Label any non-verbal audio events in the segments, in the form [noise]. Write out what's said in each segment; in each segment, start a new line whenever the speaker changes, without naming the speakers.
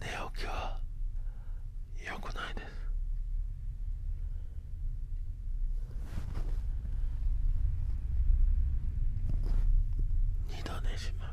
寝起きは良くないです二度寝します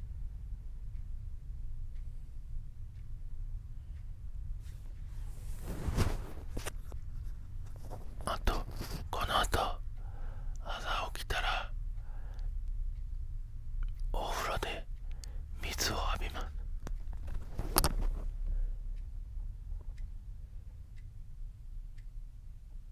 あとこの後朝起きたらお風呂で水を浴びます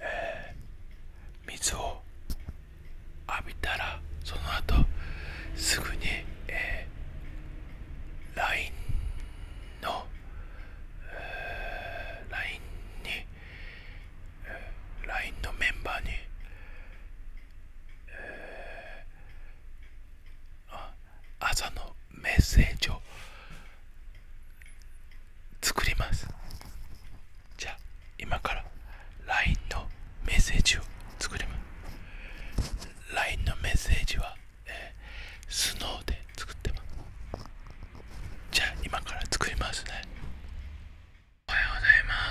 えー、水を浴びたらその後すぐに、えー、LINE の、えー、LINE に、えー、LINE のメンバーに、えー、朝のメッセージを作りますじゃあ今から LINE のメッセージを作ります LINE のメッセージは、えー、スノーで作ってますじゃあ今から作りますねおはようございます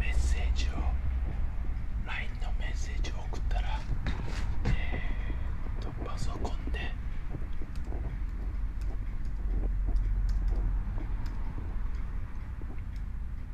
メッセージを LINE のメッセージを送ったらパソコンで。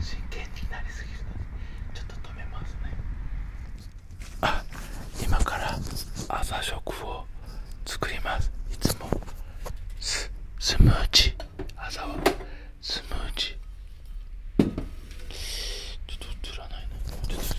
真剣になりすぎるのでちょっと止めますね。あ今から朝食を作りますいつもススムージー朝はスムージーちょっと映らないなちょっと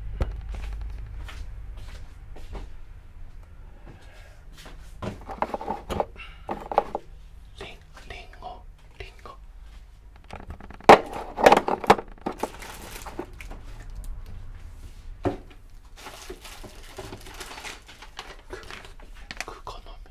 リンリンゴリンゴクミクコノミ。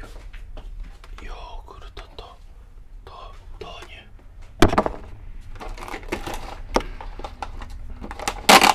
ヨヨーグルトとダニ。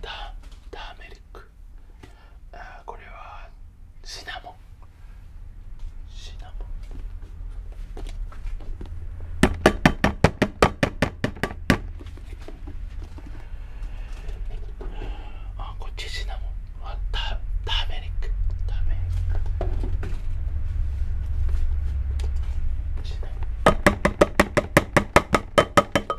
タターメリックあこれはシナモンシナモンあこっちシナモンあタターメリックターメリックシナモン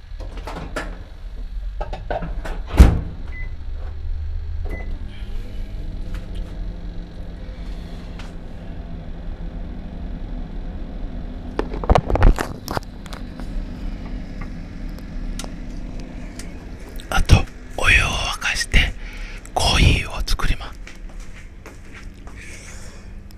あとお湯を沸かしてコーヒーを作ります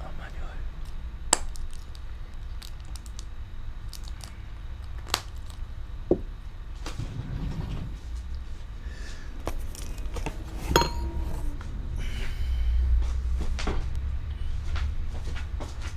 あまりおい。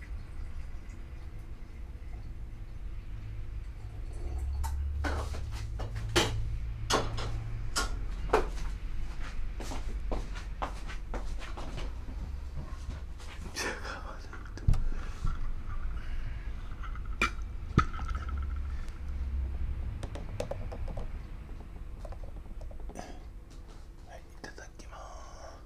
はいいただきます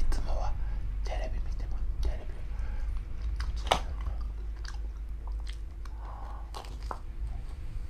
いつもはテレビ見てもテレビ。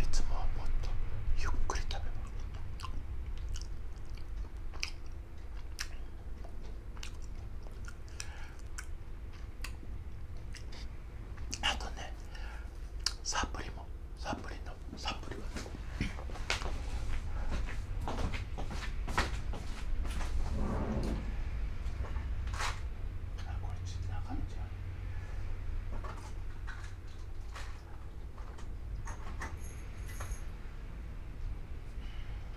いつもはもっとゆっくり食べます。あとねサプリもサプリのサプリは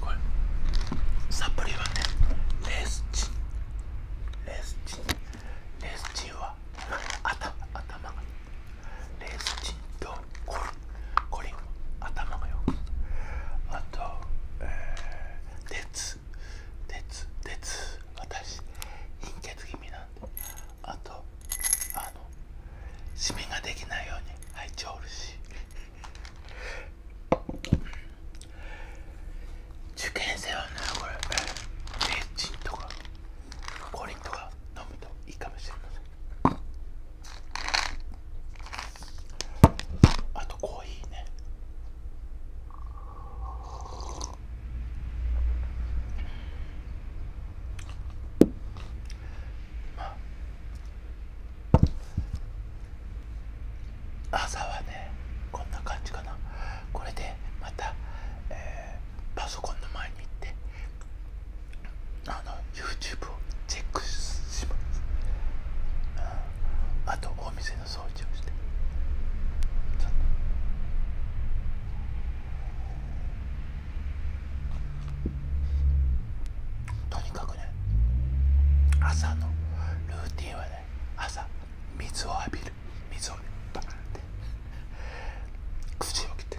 これサプリはねレースチンレースチンレースチンは頭頭がレースチンとコリンコリンは頭がよくあと、鉄鉄鉄私貧血気味なんであとあの締めができないように入っちゃおるし受験生はねこれレーチンとかコリンとか飲むといいかもしれませんあとコーヒーねまあ朝はねこんな感じかなこれでまた、えー、パソコンの前に行ってあの YouTube をチェックします、あとお店の掃除をしてとにかくね朝のルーティンはね朝水を浴びる水をバーンって [laughs] 口を切って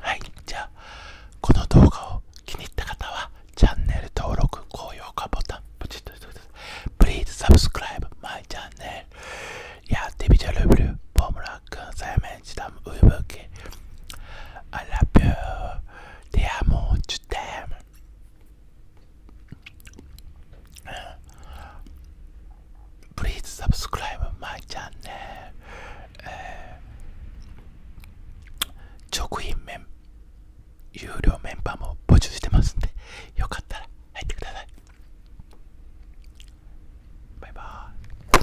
はいじゃあこの動画を気に入った方はチャンネル登録高評価ボタンプチッとしてください p l e a ブ、e subscribe my c h やってみちゃルブルボムラクン、サイメンチダムウイブーケ I love y デアモーチュテム p リーズサブスクライ c r i b e my c h えー、直メン。有料メンバーも募集してますんでよかったら入ってくださいバイバイ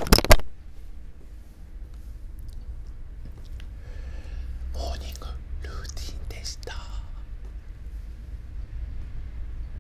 モーニングルーティンでした